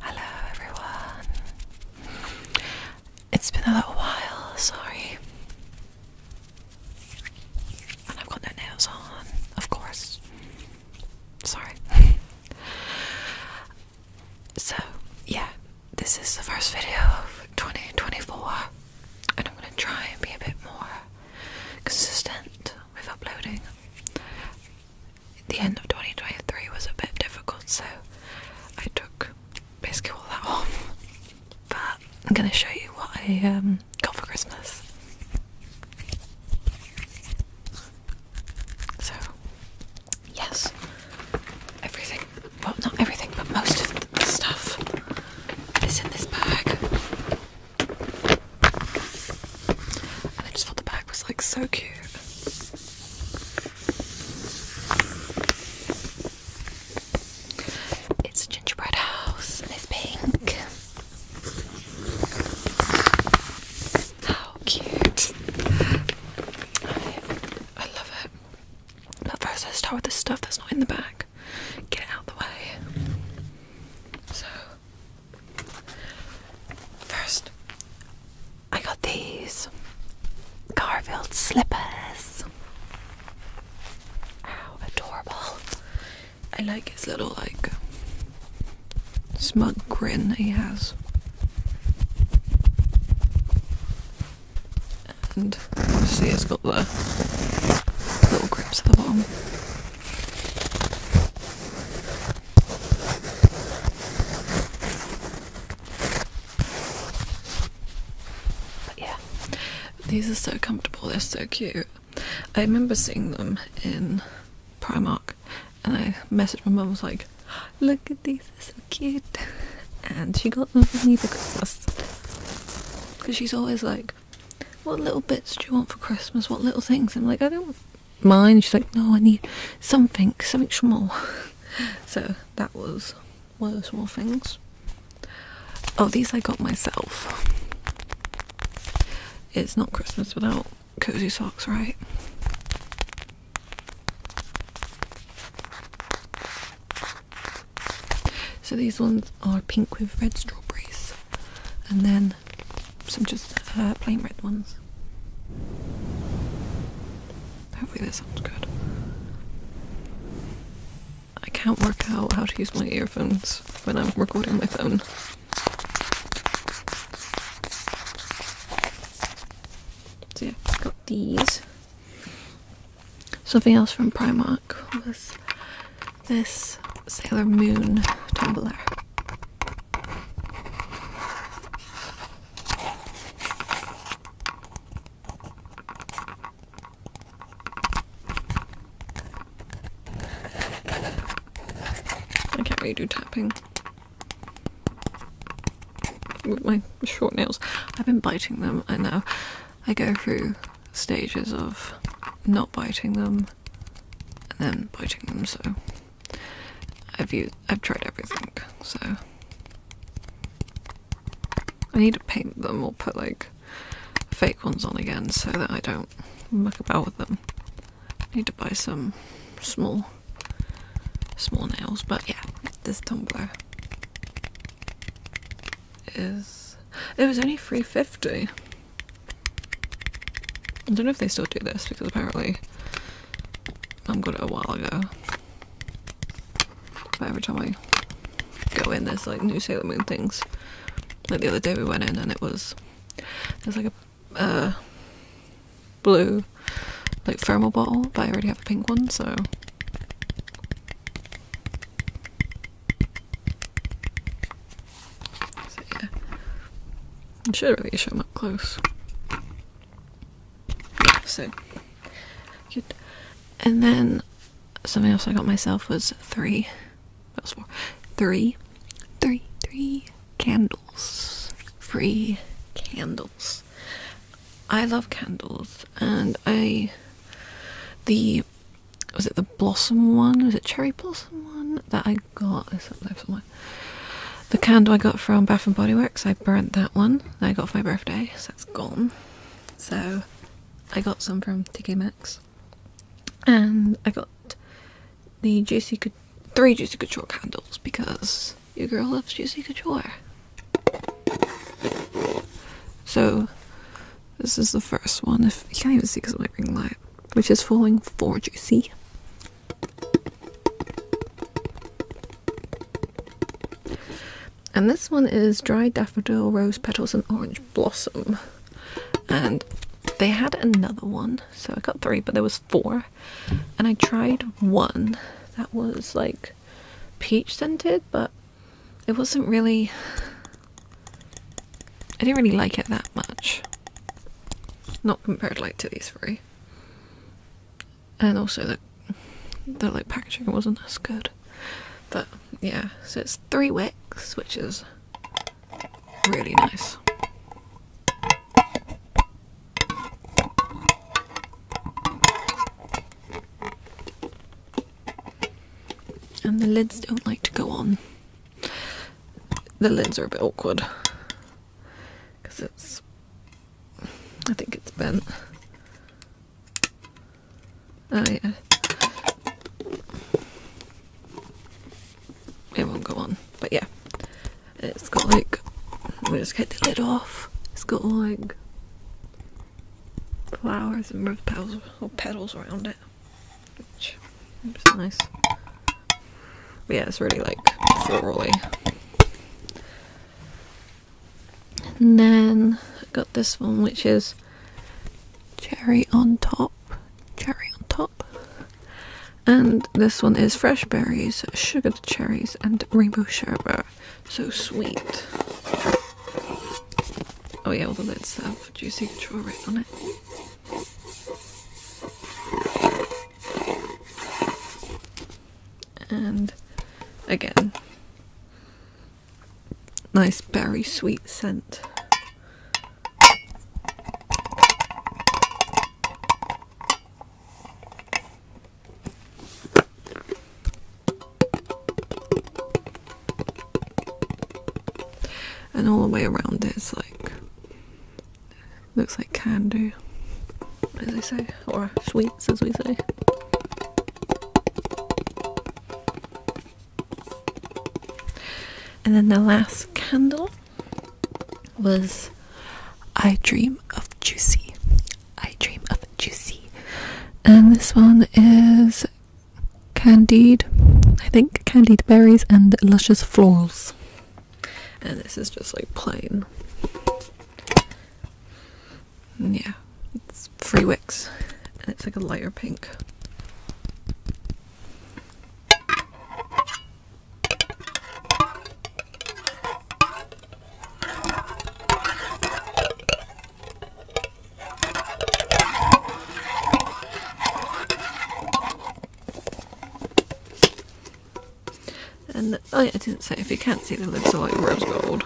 Hello everyone. It's been a little while, sorry. And I've got no nails on, of course. Sorry. so, yeah, this is the first video of 2024, and I'm going to try and be a bit more consistent with uploading the end of 2023 was a bit difficult, so I took basically all that off. But I'm going to show you what I um, got for Christmas. So, yes, everything, well, not everything, but most of the stuff is in this bag. I just thought the bag was like so cute. It's a gingerbread house and it's pink. How cute. I, love it. But first, I start with the stuff that's not in the bag. Get it out the way. So First, I got these Garfield slippers. How adorable! I like his little, like, smug grin that he has. And see, he has got the little grips at the bottom yeah, these are so comfortable, they're so cute. I remember seeing them in Primark and I messaged my mum, was like, Look at these, they're so cute. And she got them for me for Christmas. Because she's always like, What little bits do you want for Christmas? What little things? I'm like, I don't mine. She's like, no, I need something, something small. so that was one of the small things. Oh, these I got myself. It's not Christmas without cozy socks, right? So these ones are pink with red strawberries and then some just uh, plain red ones. Hopefully, this sounds good. I can't work out how to use my earphones when I'm recording my phone. So, yeah, got these. Something else from Primark was this Sailor Moon tumbler. I can't really do tapping with my short nails. I've been biting them, I know. I go through stages of not biting them and then biting them so I've used I've tried everything so I need to paint them or put like fake ones on again so that I don't muck about with them. I need to buy some small small nails but yeah this tumbler is it was only 350 I don't know if they still do this because apparently I'm good a while ago. But every time I go in, there's like new Sailor Moon things. Like the other day we went in and it was there's like a uh, blue like thermal bottle, but I already have a pink one, so so yeah, I should really show them up close. So good. And then something else I got myself was three. That was four. Three, three, three candles. three candles. I love candles, and I the was it the blossom one? Was it cherry blossom one that I got is up there somewhere. The candle I got from Bath and Body Works, I burnt that one that I got for my birthday, so it's gone. So I got some from TK Maxx, and I got the Juicy Couture, three Juicy Couture candles because your girl loves Juicy Couture. So this is the first one. If you can't even see because of my ring light, which is falling for juicy, And this one is Dry Daffodil, Rose Petals and Orange Blossom. And they had another one, so I got three, but there was four. And I tried one that was like peach scented, but it wasn't really I didn't really like it that much. Not compared like to these three. And also the the like packaging wasn't as good. But yeah, so it's three wicks, which is really nice. And the lids don't like to go on the lids are a bit awkward because it's I think it's bent oh yeah it won't go on but yeah it's got like we'll just get the lid off it's got like flowers and petals or petals around it which is nice. But yeah, it's really like florally. And then I got this one, which is cherry on top, cherry on top. And this one is fresh berries, sugared cherries, and rainbow sherbet. So sweet. Oh yeah, all the lids have juicy control right on it. And again, nice berry sweet scent and all the way around it's like looks like candy as they say or sweets as we say and then the last candle was I Dream of Juicy. I Dream of Juicy. And this one is candied, I think, candied berries and luscious florals. And this is just like plain. Yeah, it's free wicks, and it's like a lighter pink. And oh yeah, I didn't say if you can't see the lids are like rose gold.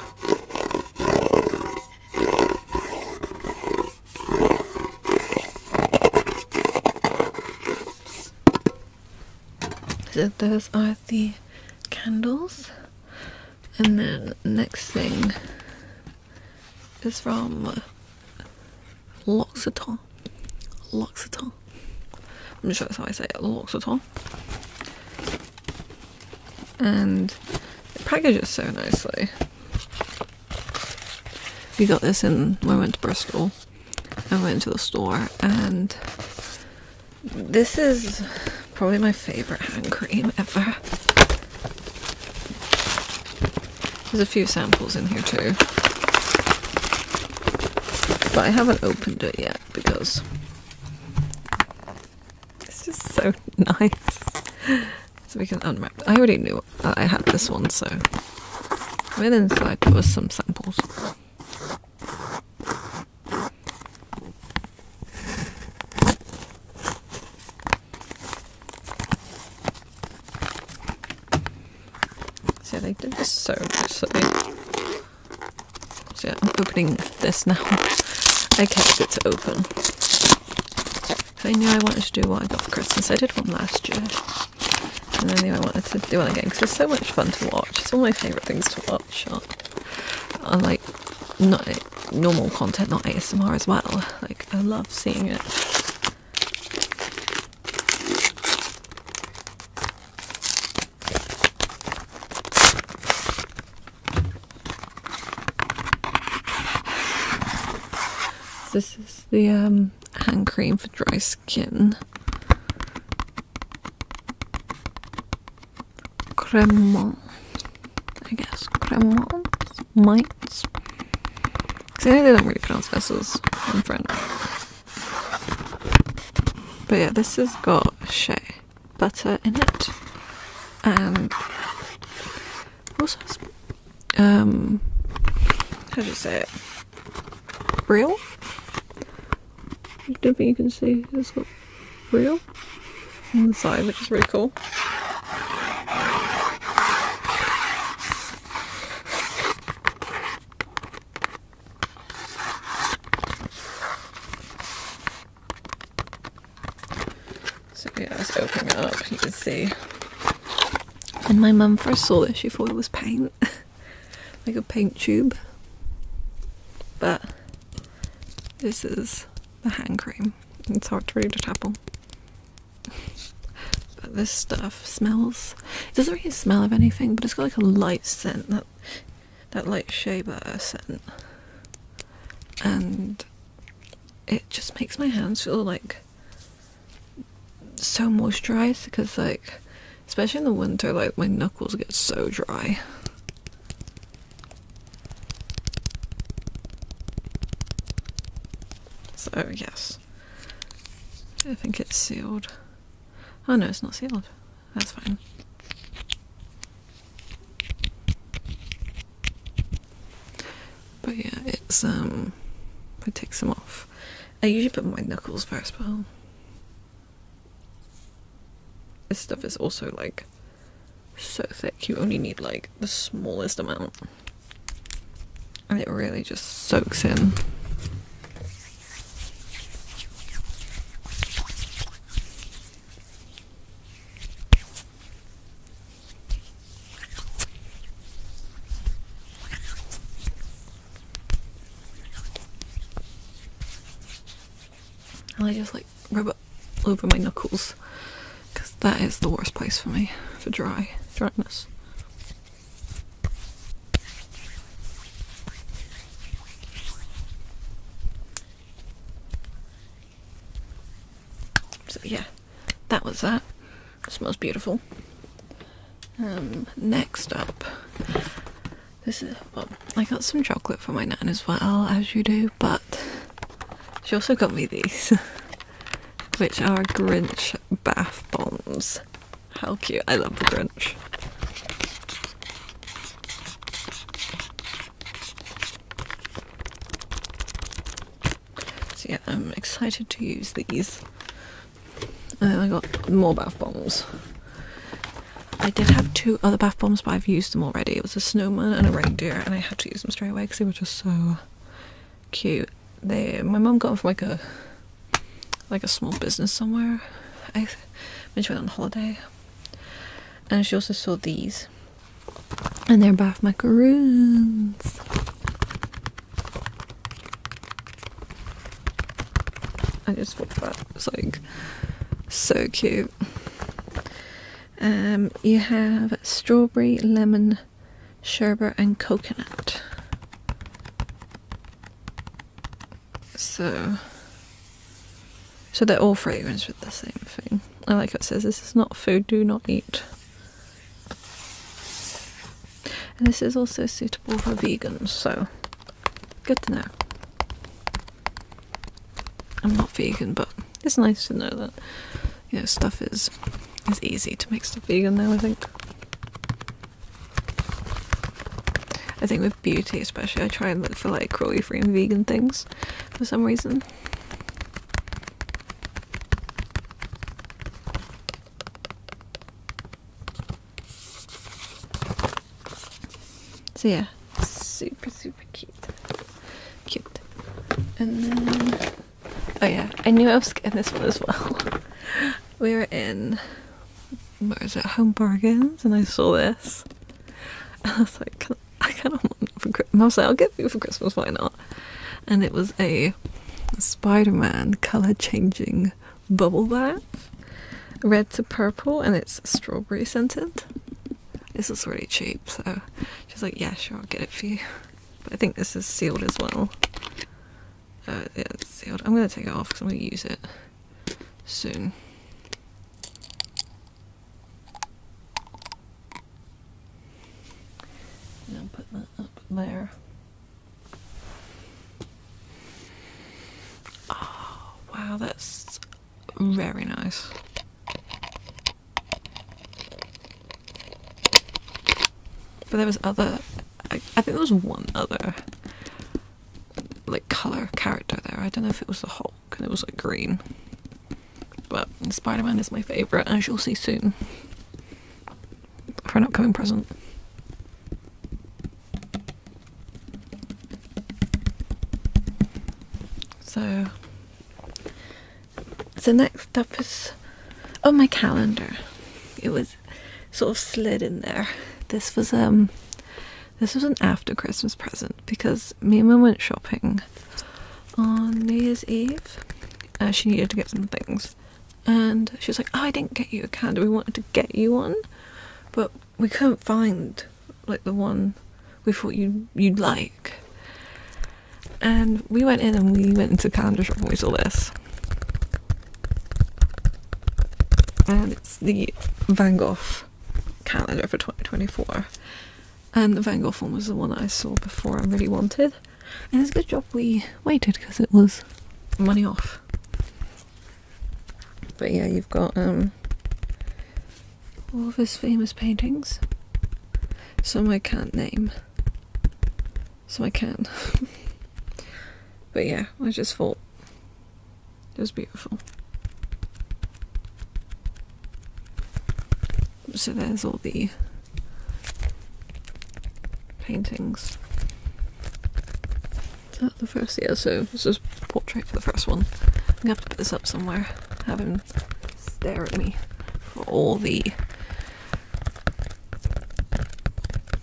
So those are the candles. And then next thing it's from uh, L'Occitane. L'Occitane. I'm not sure that's how I say it. L'Occitane. And the package is so nicely. We got this in when we went to Bristol. I went to the store and this is probably my favorite hand cream ever. There's a few samples in here too. But I haven't opened it yet because it's just so nice. So we can unwrap. I already knew I had this one, so I went inside. There was some samples. So they did this so so. I'm opening this now. I kept it to open. I knew I wanted to do what I got for Christmas. I did one last year. And I knew I wanted to do one again because it's so much fun to watch. It's one of my favourite things to watch on, like not normal content, not ASMR as well. Like I love seeing it. This is the um, hand cream for dry skin. Cremant, I guess, cremant mites. Because I know they don't really pronounce vessels in French. But yeah, this has got shea butter in it. And also has, um, how do you say it? Real? I don't think you can see. this. has real on the side, which is really cool. So yeah, let's open it up. You can see. When my mum first saw this, she thought it was paint, like a paint tube. But this is the hand cream. It's hard to read a apple but this stuff smells. It doesn't really smell of anything, but it's got like a light scent that that light shaver scent, and it just makes my hands feel like so moisturized because like especially in the winter like my knuckles get so dry so, yes. I think it's sealed. Oh no, it's not sealed. That's fine. But yeah, it's, um, I take some off. I usually put my knuckles first, but um, this stuff is also like so thick you only need like the smallest amount and it really just soaks in I just like rub over my knuckles because that is the worst place for me for dry dryness. So yeah, that was that. It smells beautiful. Um, next up, this is well, I got some chocolate for my nan as well, as you do, but she also got me these, which are Grinch bath bombs. How cute! I love the Grinch. So yeah, I'm excited to use these. And I got more bath bombs. I did have two other bath bombs, but I've used them already. It was a snowman and a reindeer, and I had to use them straight away because they were just so cute. They, my mum got them from like a, like a small business somewhere. I, when she went on holiday, and she also saw these, and they're bath macaroons. I just thought that was like so cute. Um, you have strawberry, lemon, sherbet, and coconut. So, so they're all fragrance with the same thing. I like how it says this is not food, do not eat. And this is also suitable for vegans, so good to know. I'm not vegan, but it's nice to know that you know, stuff is it's easy to make stuff vegan now, I think. I think with beauty especially, I try and look for like cruelty-free and vegan things for some reason. So yeah, super, super super cute. Cute. And then oh yeah, I knew I was getting this one as well. we were in where is it? Home Bargains, and I saw this. And I was like, I kind of want it for Christmas. I was like, I'll get you for Christmas, why not? And it was a Spider-Man color-changing bubble bath, red to purple, and it's strawberry scented. This is really cheap, so she's like, yeah, sure, I'll get it for you. But I think this is sealed as well. Uh, yeah, it's sealed. I'm going to take it off because I'm going to use it soon. And I'll put that up there. Oh, wow, that's very nice. But there was other. I, think there was one other like color character there. I don't know if it was the Hulk and it was like green. But Spider Man is my favourite, as you'll see soon for an upcoming present. So so next up is oh my calendar. It was sort of slid in there. This was um this was an after Christmas present because me and Mum went shopping on New Year's Eve. Uh, she needed to get some things. And she was like, oh, I didn't get you a candle. We wanted to get you one, but we couldn't find like the one we thought you you'd like. And we went in and we went into the calendar shop and we saw this. And it's the Van Gogh calendar for 2024. And the Van Gogh one was the one that I saw before I really wanted. And it's a good job we waited because it was money off. But yeah, you've got um all of his famous paintings. Some I can't name. So I can. but yeah, I just thought it was beautiful. So there's all the paintings. Is the first? Yeah, so this is portrait for the first one. I'm gonna have to put this up somewhere. haven't stare at me for all the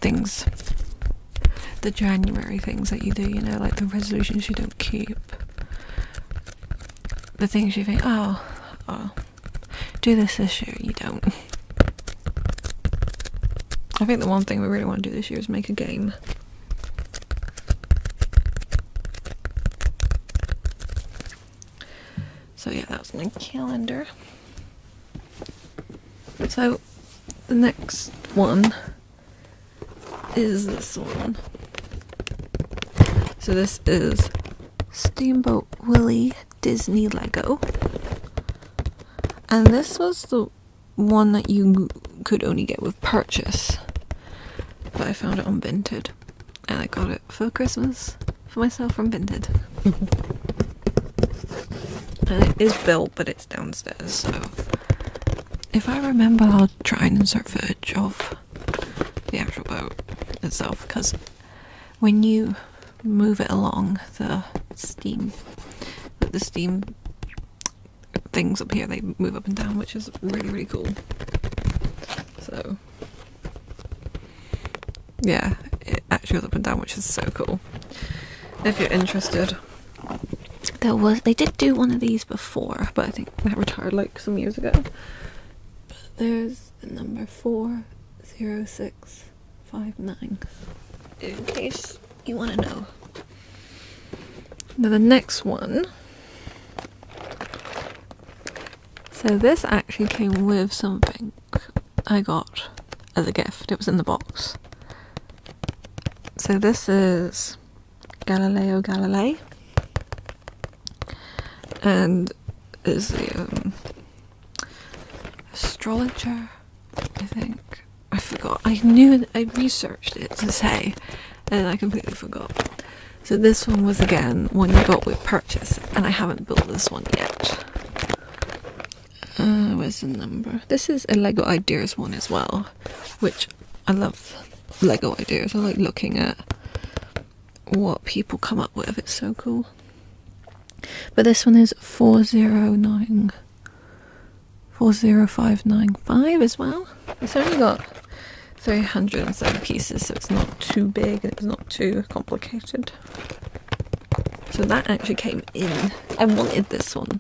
things the January things that you do, you know, like the resolutions you don't keep. The things you think, oh, oh, do this this year, you don't. I think the one thing we really want to do this year is make a game. So yeah, that was my calendar. So the next one is this one. So this is Steamboat Willie Disney Lego. And this was the one that you could only get with purchase. But I found it on and I got it for Christmas for myself from Vinted. and it is built, but it's downstairs, so if I remember, I'll try and insert footage of the actual boat itself because when you move it along, the steam, the steam things up here, they move up and down, which is really, really cool. So yeah, it actually goes up and down, which is so cool. If you're interested, there was they did do one of these before, but I think that retired like some years ago. But there's number four zero six five nine. In case you want to know. Now the next one so this actually came with something I got as a gift. It was in the box. So this is Galileo Galilei. And is the um, astrologer, I think. I forgot. I knew I researched it to say, and I completely forgot. So this one was again one you got with purchase, and I haven't built this one yet. Uh, where's the number? This is a Lego Ideas one as well, which I love Lego Ideas. I like looking at what people come up with. It's so cool. But this one is 409 40595 as well. It's only got 307 pieces, so it's not too big and it's not too complicated. So that actually came in. I wanted this one.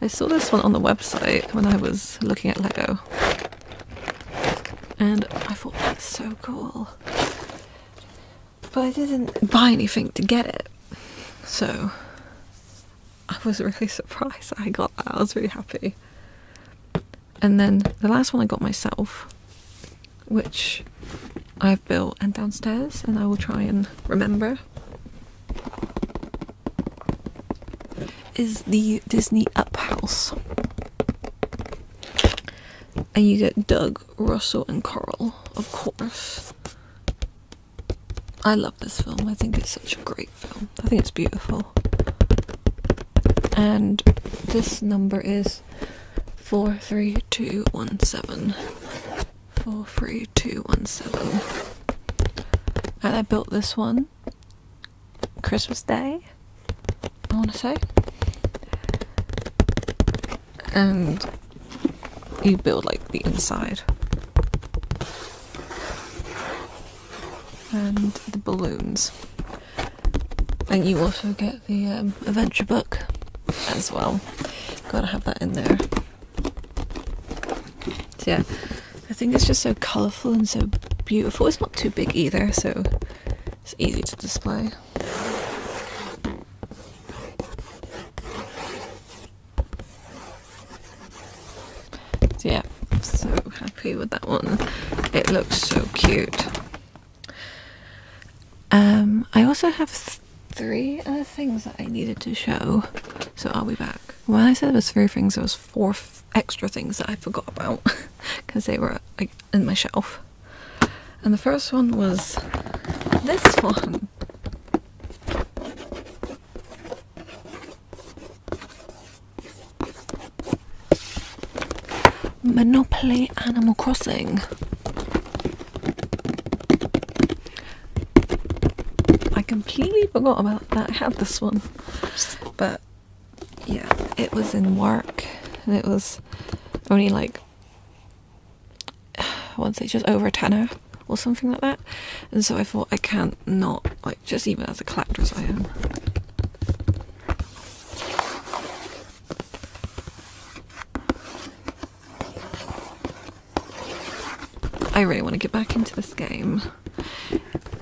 I saw this one on the website when I was looking at Lego. And I thought that's so cool. But I didn't buy anything to get it. So I was really surprised I got that. I was really happy. And then the last one I got myself, which I've built and downstairs, and I will try and remember, is the Disney Up House. And you get Doug, Russell, and Carl, of course. I love this film, I think it's such a great I think it's beautiful. And this number is 43217. 43217. And I built this one Christmas Day, I want to say. And you build like the inside and the balloons. And you also get the um, adventure book as well. Gotta have that in there. So yeah, I think it's just so colourful and so beautiful. It's not too big either, so it's easy to display yeah, so happy with that one. It looks so cute. Um, I also have three other things that I needed to show, so I'll be back. When I said there was three things, it was four extra things that I forgot about because they were like in my shelf. And the first one was this one. Monopoly Animal Crossing. I completely forgot about that. I had this one, but yeah, it was in work and it was only like I want to say just over a tenner or something like that. And so I thought I can't not like just even as a collector as I am. I really want to get back into this game.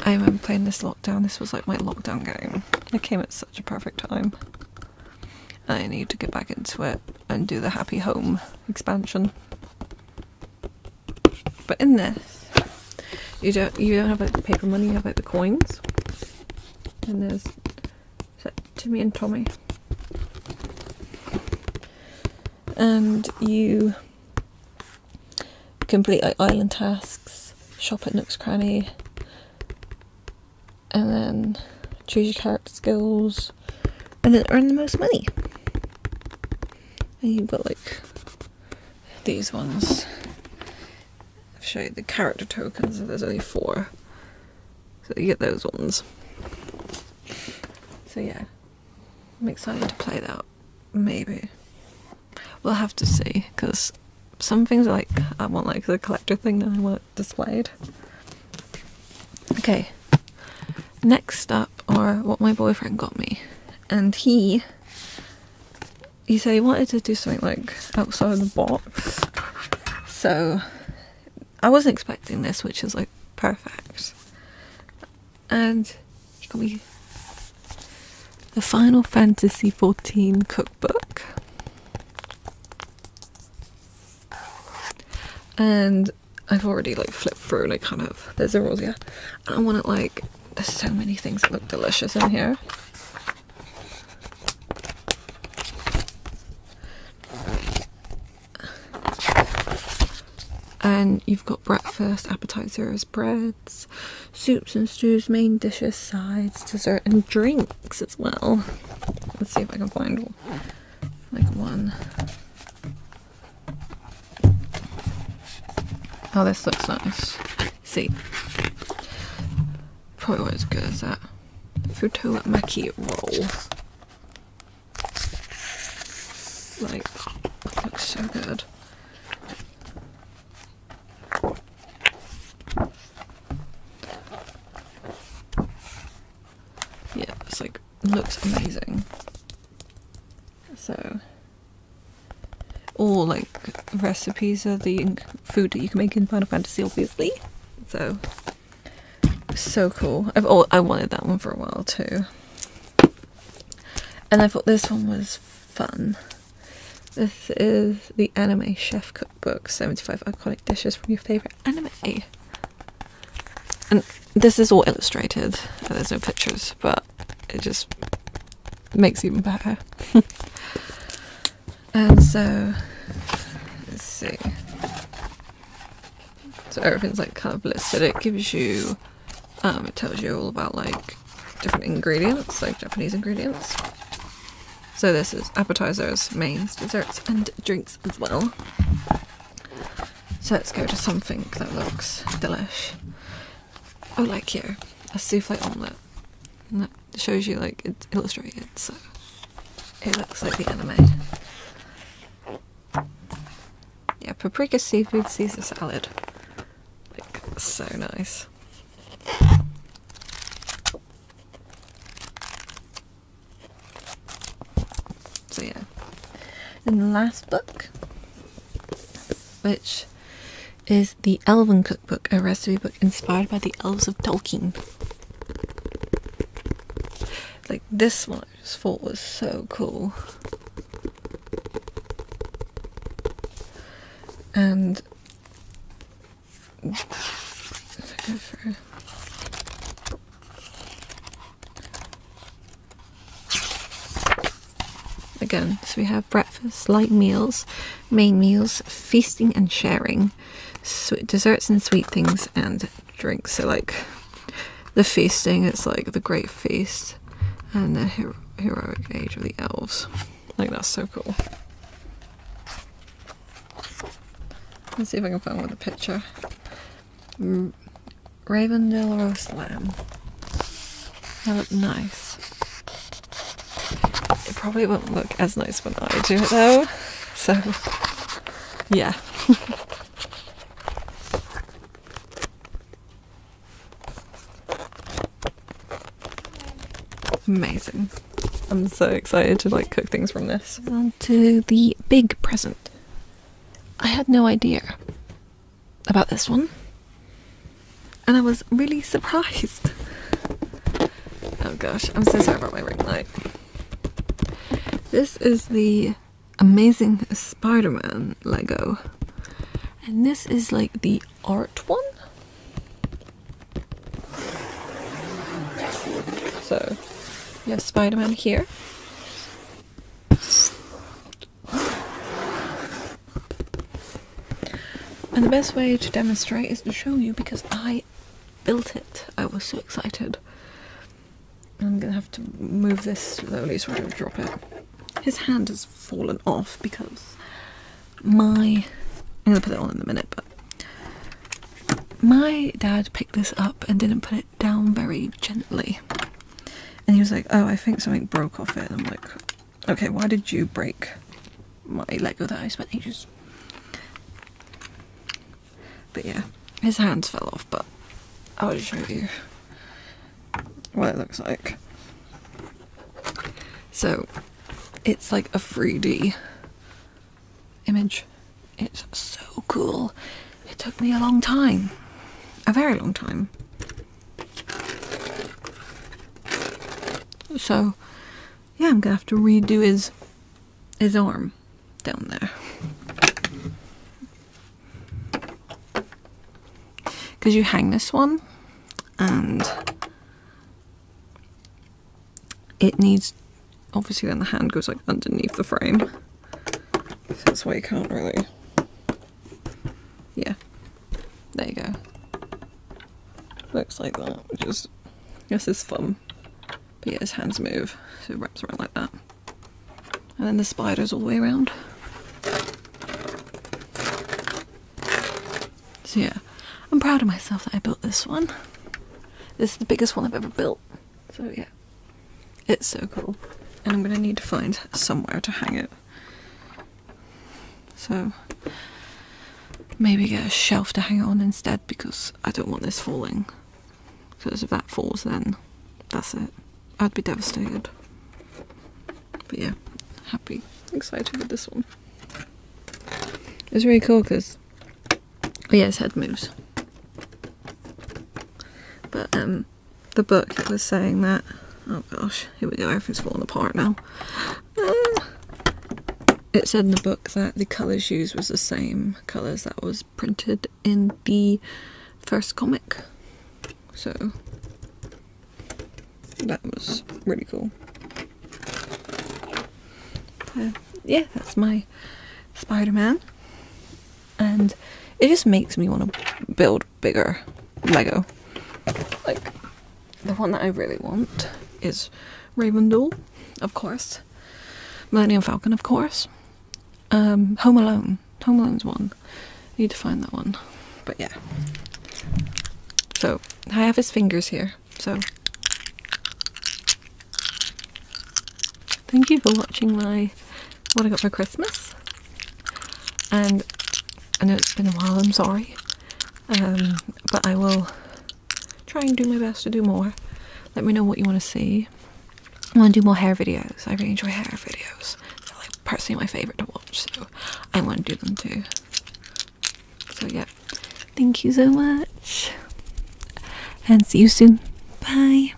I remember playing this lockdown. This was like my lockdown game. It came at such a perfect time. I need to get back into it and do the Happy Home expansion. But in this, you don't you don't have like the paper money, you have like the coins. And there's Timmy and Tommy. And you complete like island tasks, shop at Nook's Cranny, and then choose your character skills, and then earn the most money. And you've got like these ones. I've showed the character tokens, there's only four. So you get those ones. So yeah, I'm excited to play that. Maybe. We'll have to see, because some things like I want like the collector thing that I want displayed. Okay, next up or what my boyfriend got me. And he he said he wanted to do something like outside the box. So I wasn't expecting this, which is like perfect. And he got me the Final Fantasy XIV cookbook. And I've already like flipped through like kind of there's the rules, yeah. I want it like there's so many things that look delicious in here. And you've got breakfast, appetizers, breads, soups and stews, main dishes, sides, dessert, and drinks as well. Let's see if I can find like one. Oh, this looks nice. See. Probably not as good as that. Futola Maki roll. Like, looks so good. Yeah, it's like, looks amazing. So, all like recipes are the food that you can make in Final Fantasy, obviously. So, so cool. I've all I wanted that one for a while too, and I thought this one was fun. This is the Anime Chef Cookbook 75 Iconic Dishes from Your Favorite Anime. And this is all illustrated, there's no pictures, but it just makes even better. and so, let's see. So everything's like kind of listed. It gives you, um, it tells you all about like different ingredients, like Japanese ingredients. So this is appetizers, mains, desserts, and drinks as well. So let's go to something that looks delish oh like here a souffle omelette and that shows you like it's illustrated so it looks like the anime yeah paprika seafood caesar salad like so nice so yeah and the last book which is the Elven Cookbook, a recipe book inspired by the elves of Tolkien. Like this one I just thought was so cool. And Again, so we have breakfast, light meals, main meals, feasting and sharing, desserts and sweet things, and drinks. So like the feasting, it's like the great feast, and the heroic age of the elves. I think that's so cool. Let's see if I can find another picture. Ravendale roast lamb. That looks nice. It probably won't look as nice when I do it though. So, yeah. Amazing. I'm so excited to like cook things from this. On to the big present. I had no idea about this one, and I was really surprised. oh gosh, I'm so sorry about my ring light. This is the Amazing Spider Man Lego, and this is like the art one. So, you have Spider Man here. And the best way to demonstrate is to show you because I built it. I was so excited. I'm gonna have to move this slowly so I don't drop it. His hand has fallen off because my. I'm gonna put it on in a minute, but my dad picked this up and didn't put it down very gently. And he was like, Oh, I think something broke off it. I'm like, Okay, why did you break my Lego that I spent ages? But yeah, his hands fell off, but I'll show you what it looks like. So it's like a 3D image. It's so cool. It took me a long time, a very long time. So, yeah, I'm gonna have to redo his his arm down there. Because you hang this one and it needs obviously then the hand goes like underneath the frame. that's why you can't really yeah. There you go. Looks like that, which is, this is fun. But yeah, his hands move, so it wraps around like that. And then the spiders all the way around. So yeah, I'm proud of myself that I built this one. This is the biggest one I've ever built. So yeah. It's so cool. And I'm going to need to find somewhere to hang it. So maybe get a shelf to hang it on instead because I don't want this falling. Because if that falls then that's it. I'd be devastated. But yeah, happy, excited with this one. It's really cool because, oh yeah, his head moves. But um, the book was saying that. Oh gosh, here we go, everything's falling apart now. Uh, it said in the book that the colours used was the same colours that was printed in the first comic. So that was really cool. Uh, yeah, that's my Spider-Man and it just makes me want to build bigger Lego. Like, the one that I really want is Ravendell, of course, Millennium Falcon, of course, um, Home Alone. Home Alone's one. I need to find that one. But yeah. So, I have his fingers here, so. Thank you for watching my what I got for Christmas. And I know it's been a while, I'm sorry. Um, but I will try and do my best to do more. Let me know what you want to see. I want to do more hair videos. I really enjoy hair videos. They're like personally my favourite to watch, so I want to do them too. So yeah, thank you so much. And see you soon. Bye.